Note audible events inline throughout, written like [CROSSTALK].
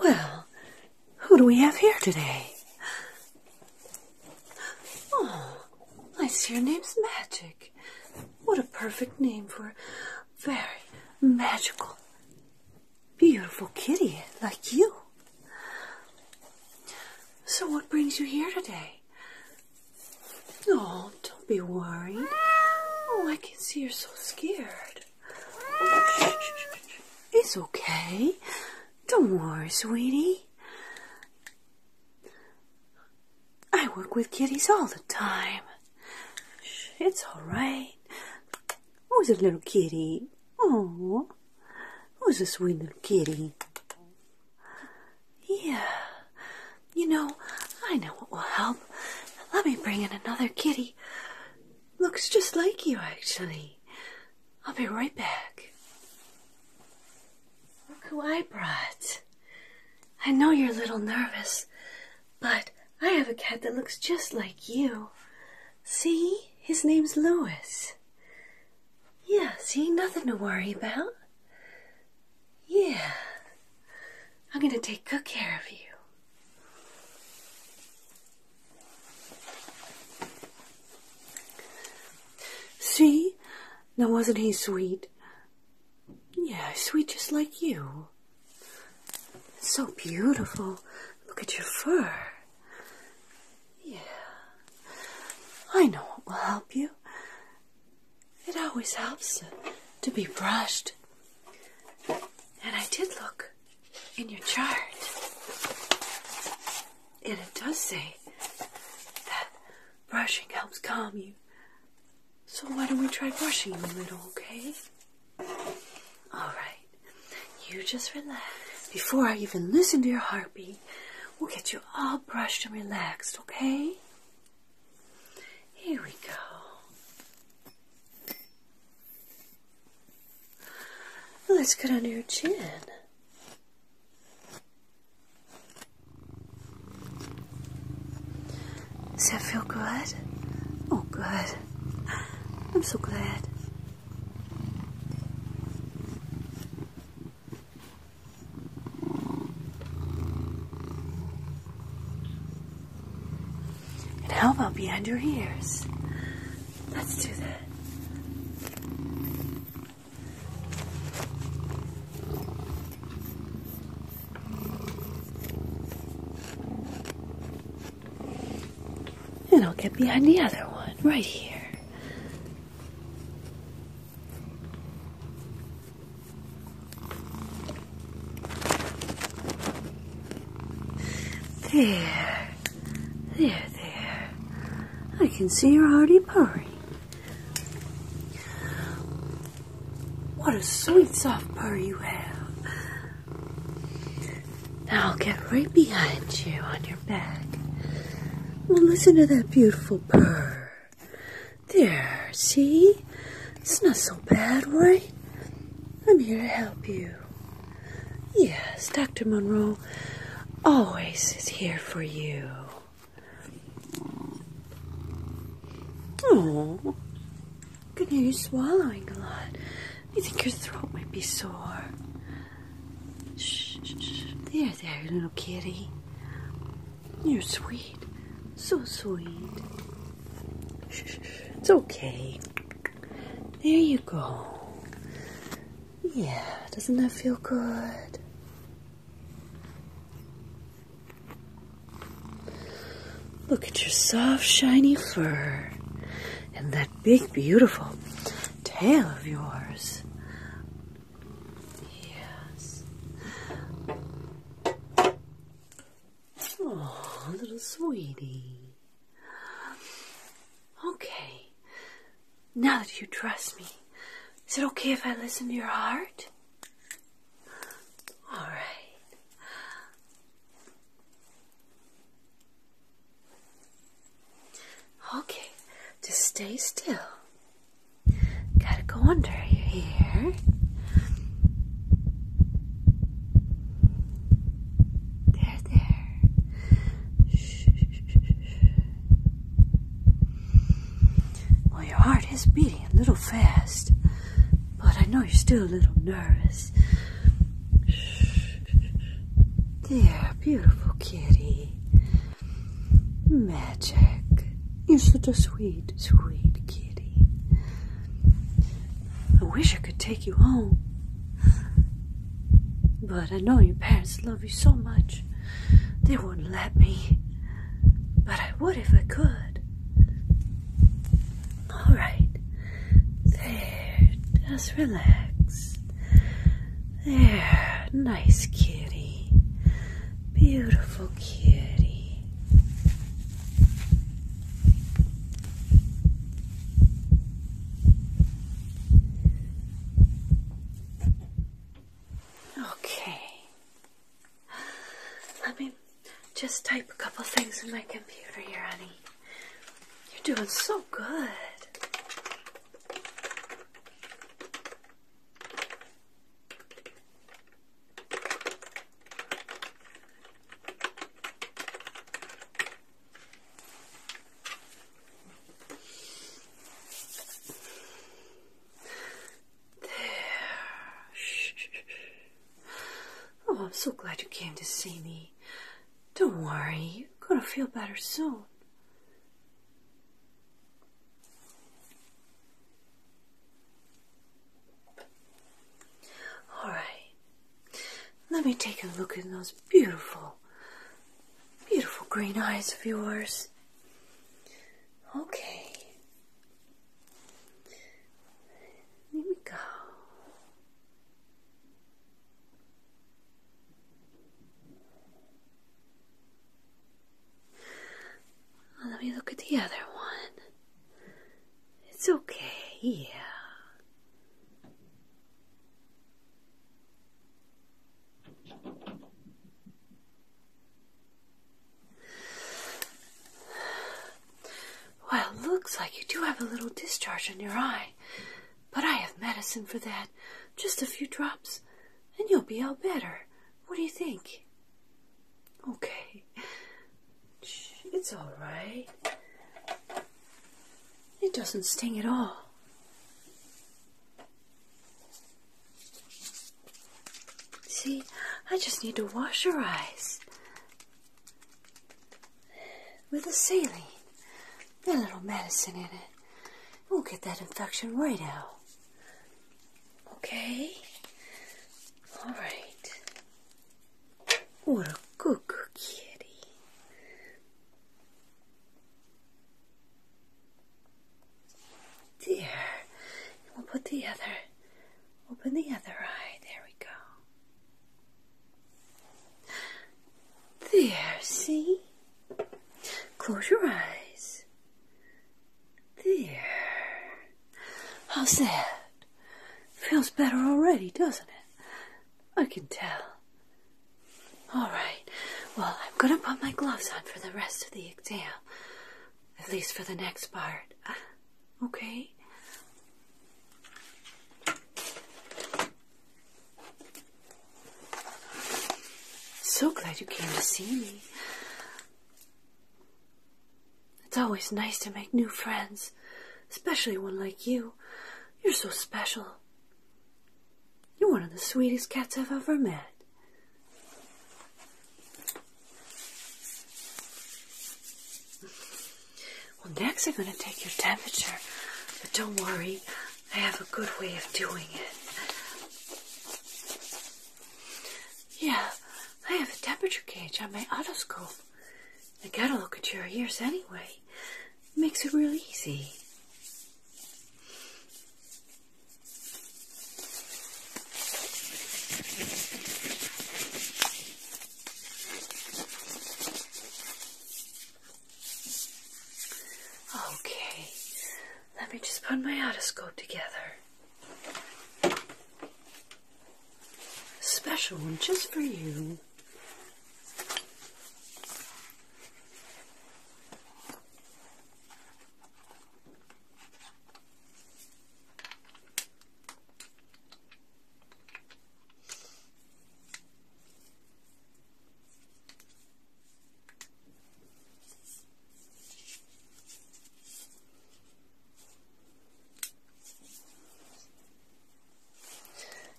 Well, who do we have here today? Oh, I see your name's Magic. What a perfect name for a very magical, beautiful kitty like you. So, what brings you here today? Oh, don't be worried. Oh, I can see you're so scared. it's okay. Don't worry, sweetie. I work with kitties all the time. It's alright. Who's a little kitty? Oh, who's a sweet little kitty? Yeah, you know, I know what will help. Let me bring in another kitty. Looks just like you, actually. I'll be right back. Look who I brought. I know you're a little nervous, but I have a cat that looks just like you. See? His name's Louis. Yeah, see? Nothing to worry about. Yeah. I'm going to take good care of you. See? Now, wasn't he sweet? Yeah, sweet just like you. so beautiful. Look at your fur. Yeah. I know what will help you. It always helps to be brushed. And I did look in your chart. And it does say that brushing helps calm you. So why don't we try brushing you a little, okay? Alright. You just relax. Before I even listen to your heartbeat, we'll get you all brushed and relaxed, okay? Here we go. let's get under your chin. Does that feel good? Oh, good. I'm so glad. And how about behind your ears? Let's do that. And I'll get behind the other one right here. There. There, there. I can see your are already What a sweet soft purr you have. Now I'll get right behind you on your back. Well, listen to that beautiful purr. There, see? It's not so bad, right? I'm here to help you. Yes, Dr. Monroe always is here for you. Oh, good hear you swallowing a lot. I think your throat might be sore. Shh, shh. There, there, little kitty. You're sweet. So sweet. It's okay. There you go. Yeah, doesn't that feel good? Look at your soft, shiny fur and that big, beautiful tail of yours. Yes. Oh, little sweetie. Okay. Now that you trust me, is it okay if I listen to your heart? All right. Okay, just stay still. Gotta go under here. There, there. Well, your heart is beating a little fast, but I know you're still a little nervous. there, beautiful kitty. Magic. You're such a sweet, sweet kitty. I wish I could take you home. But I know your parents love you so much, they wouldn't let me. But I would if I could. All right. There, just relax. There, nice kitty. Beautiful kitty. Okay. Let me just type a couple things in my computer here, honey. You're doing so good. There. Shh. Oh, I'm so glad you came to see me. Don't worry, you're gonna feel better soon. All right. Let me take a look in those beautiful, beautiful green eyes of yours. Okay. Here we go let me look at the other one. It's okay, yeah. Well, looks like you do have a little discharge in your eye, but I have medicine for that, just a few drops, and you'll be all better. What do you think? Okay. It's all right. It doesn't sting at all. See, I just need to wash her eyes with a saline, a little medicine in it. We'll get that infection right out. Okay? Alright. What a cuckoo kitty. There. We'll put the other, open the other eye. There we go. There, see? Close your eyes. Dear. How sad. Feels better already, doesn't it? I can tell. All right. Well, I'm going to put my gloves on for the rest of the exam. At least for the next part. Uh, okay? So glad you came to see me. It's always nice to make new friends, especially one like you. You're so special. You're one of the sweetest cats I've ever met. Well, next I'm going to take your temperature, but don't worry, I have a good way of doing it. Yeah, I have a temperature gauge on my otoscope. I gotta look at your ears anyway. It makes it real easy. Okay, let me just put my otoscope together. Special one just for you.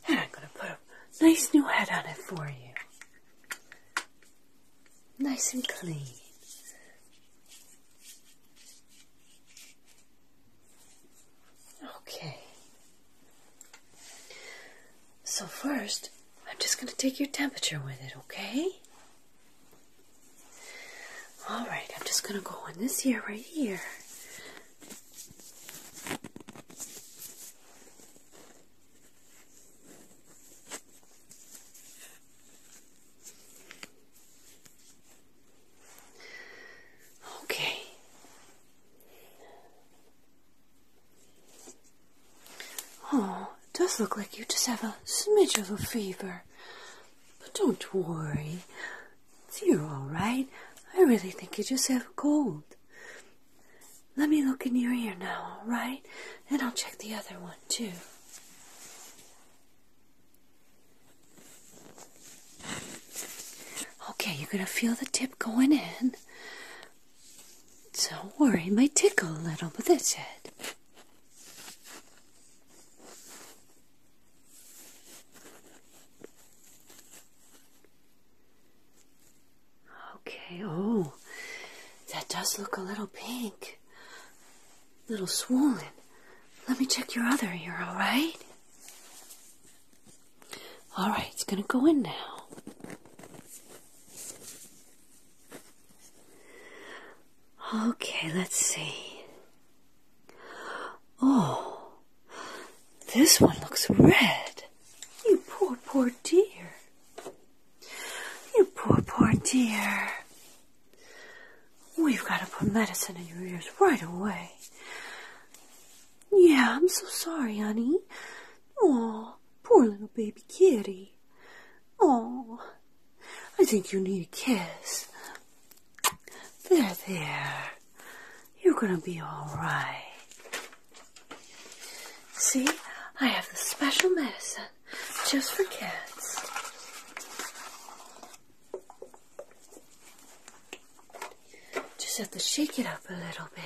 And I'm going to put a nice new hat on it for you. Nice and clean. Okay. So first, I'm just going to take your temperature with it, okay? All right, I'm just going to go on this here right here. Okay. Oh, it does look like you just have a smidge of a fever. But don't worry. You're all right. I really think you just have a cold. Let me look in your ear now, all right? And I'll check the other one, too. Okay, you're going to feel the tip going in. Don't worry, it might tickle a little, but that's it. Okay, oh, that does look a little pink. A little swollen. Let me check your other ear, alright? Alright, it's gonna go in now. Okay, let's see. Oh, this one looks red. You poor, poor dear. You poor, poor dear. We've got to put medicine in your ears right away. Yeah, I'm so sorry, honey. Oh, poor little baby kitty. Oh, I think you need a kiss. There, there. You're gonna be alright. See, I have the special medicine just for kids. Just have to shake it up a little bit.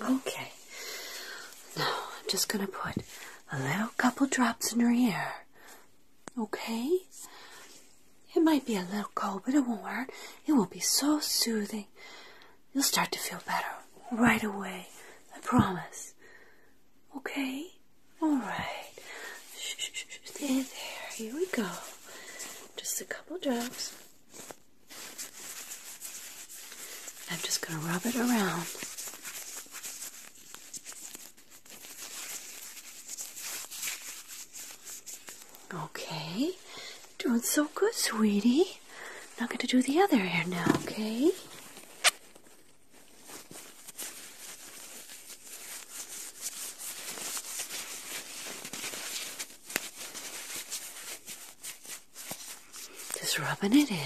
Okay. Now I'm just going to put a little couple drops in your ear. Okay? It might be a little cold, but it won't hurt. It will be so soothing. You'll start to feel better right away. I promise. Okay? Alright. There, there. Here we go. Just a couple drops. I'm just going to rub it around. Okay, doing so good, sweetie. i Now going to do the other ear now, okay? Just rubbing it in.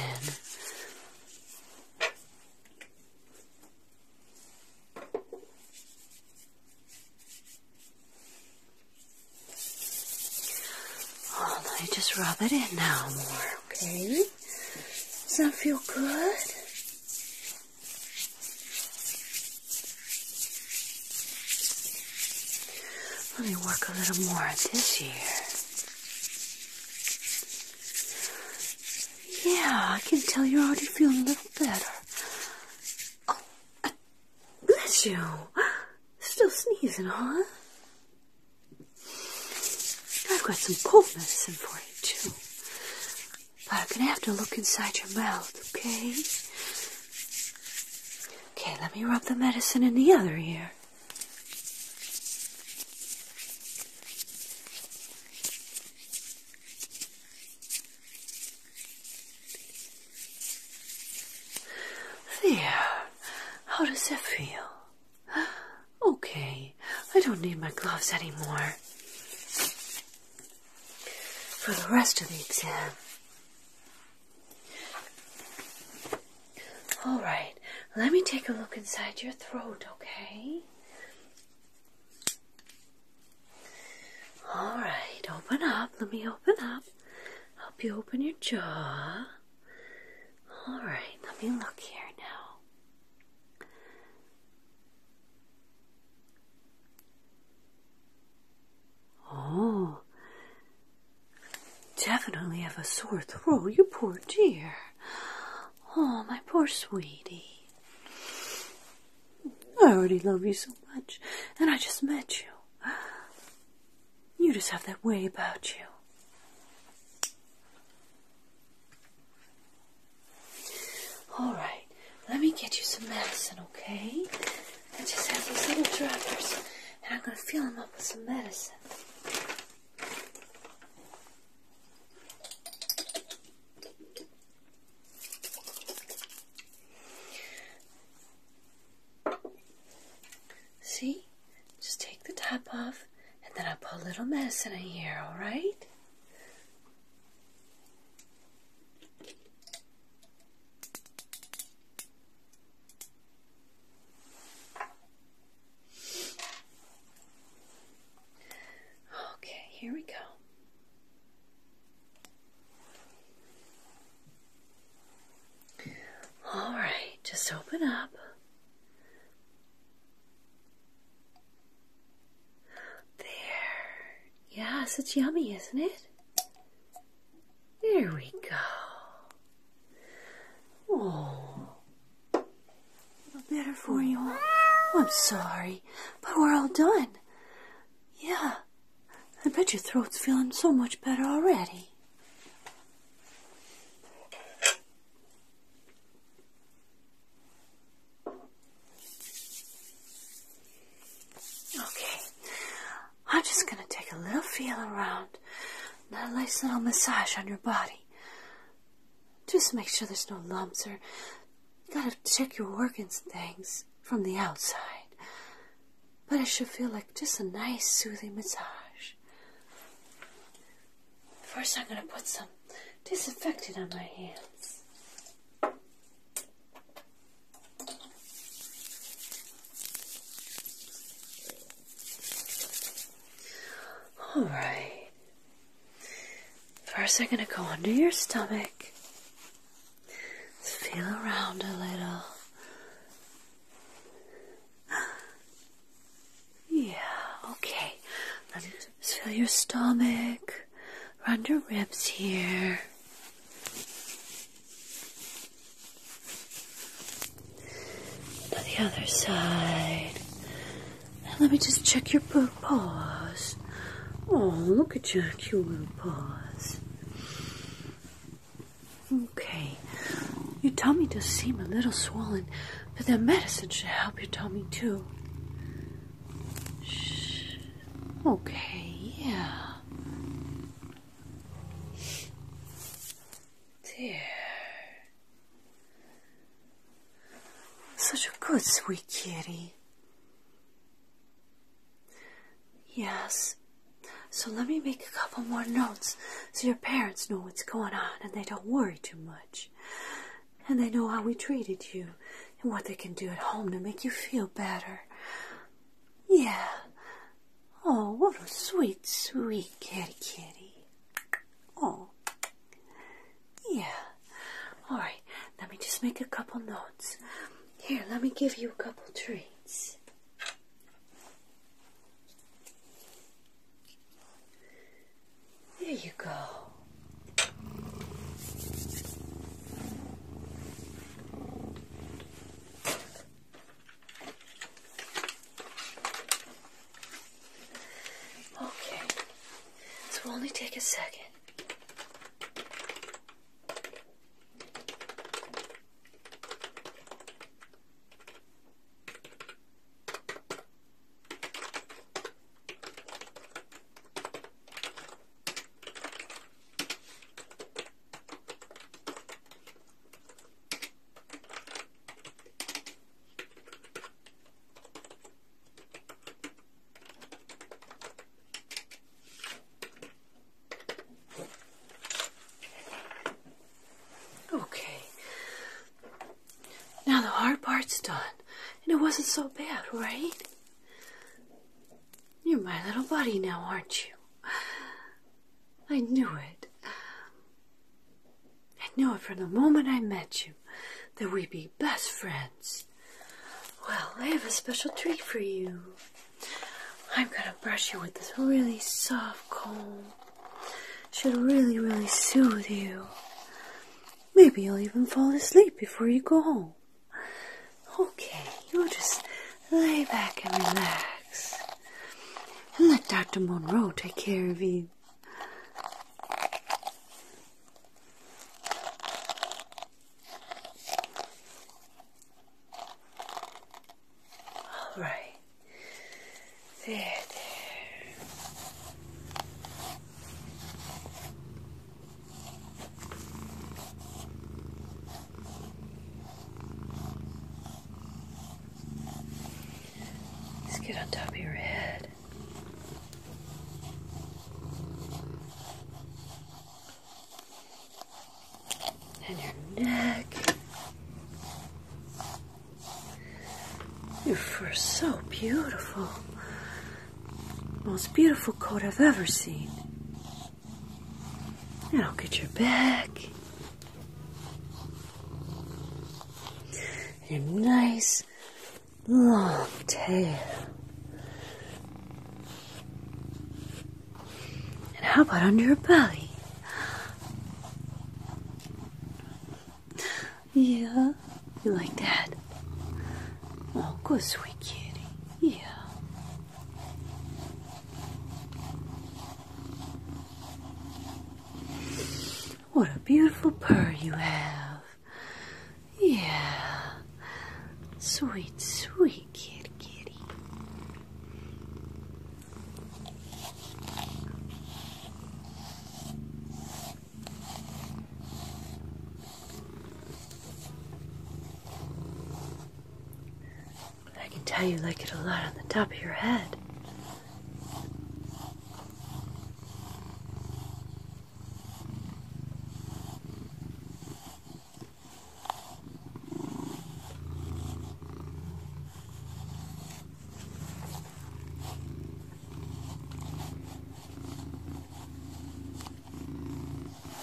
Oh, just rub it in now more, okay? Does that feel good? Let me work a little more this year. Yeah, I can tell you're already feeling a little better. Oh, uh, bless you. Still sneezing, huh? I've got some cold medicine for you, too. But I'm going to have to look inside your mouth, okay? Okay, let me rub the medicine in the other ear. There. How does that feel? [GASPS] Okay, I don't need my gloves anymore. For the rest of the exam, all right, let me take a look inside your throat, okay? All right, open up. Let me open up. Help you open your jaw. All right, let me look here now. Oh, definitely have a sore throat, you poor dear. Oh, my poor sweetie. I already love you so much, and I just met you. You just have that way about you. All right, let me get you some medicine, okay? I just have these little droppers, and I'm going to fill them up with some medicine. See? Just take the top off, and then I'll put a little medicine in here, alright? Okay, here we go. All right, just open up. There. Yes, it's yummy, isn't it? There we go. Oh, a little better for you oh, I'm sorry, but we're all done. Yeah, I bet your throat's feeling so much better already. Okay, I'm just gonna take a little feel around. not a nice little massage on your body. Just make sure there's no lumps or you gotta check your organs and things from the outside. But it should feel like just a nice soothing massage. First I'm gonna put some disinfectant on my hands. All right. First, I'm going to go under your stomach. Feel around a little. Yeah, okay. Let me just feel your stomach. Run your ribs here. To the other side. let me just check your paws. Oh, look at your cute little paws. Okay. Your tummy does seem a little swollen, but that medicine should help your tummy too. Shh. Okay, yeah. Dear. Such a good sweet kitty. Yes. So let me make a couple more notes so your parents know what's going on and they don't worry too much. And they know how we treated you and what they can do at home to make you feel better. Yeah. Oh, what a sweet, sweet kitty kitty. Oh. Yeah. All right. Let me just make a couple notes. Here, let me give you a couple treats. There you go. Okay, so will only take a second. Okay. Now the hard part's done. And it wasn't so bad, right? You're my little buddy now, aren't you? I knew it. I knew it from the moment I met you that we'd be best friends. Well, I have a special treat for you. I'm gonna brush you with this really soft comb. Should really, really soothe you. Maybe you'll even fall asleep before you go home. Okay, you will just lay back and relax. And let Dr. Monroe take care of you. All right. there. Just get on top of your head. And your neck. Your fur so beautiful most beautiful coat I've ever seen. It'll get your back. Your nice long tail. And how about under your belly? Yeah, you like that? Oh, good sweet kitty. Yeah. What a beautiful purr you have. Yeah. Sweet, sweet kitty, kitty. I can tell you like it a lot on the top of your head.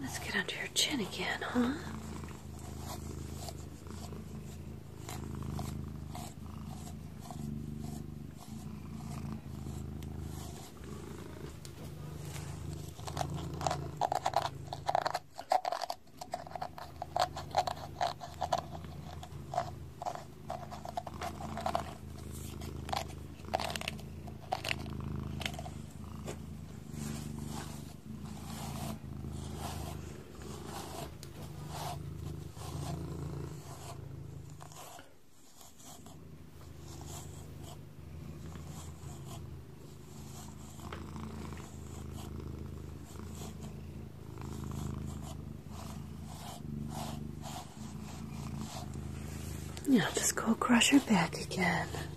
Let's get under your chin again, huh? Now just go across your back again.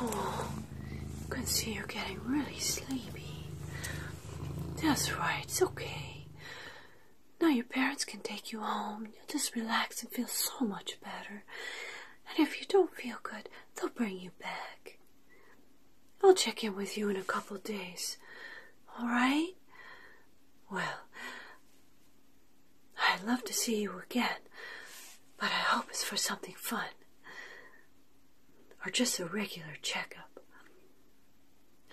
Oh, can see you're getting really sleepy. That's right, it's okay. Now your parents can take you home. You'll just relax and feel so much better. And if you don't feel good, they'll bring you back. I'll check in with you in a couple days. All right? Well, I'd love to see you again, but I hope it's for something fun or just a regular checkup.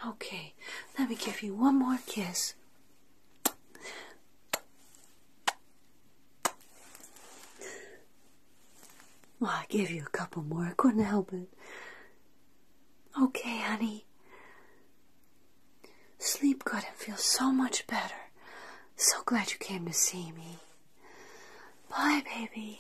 Okay, let me give you one more kiss. I gave you a couple more. I couldn't help it. Okay, honey. Sleep good and feel so much better. So glad you came to see me. Bye, baby.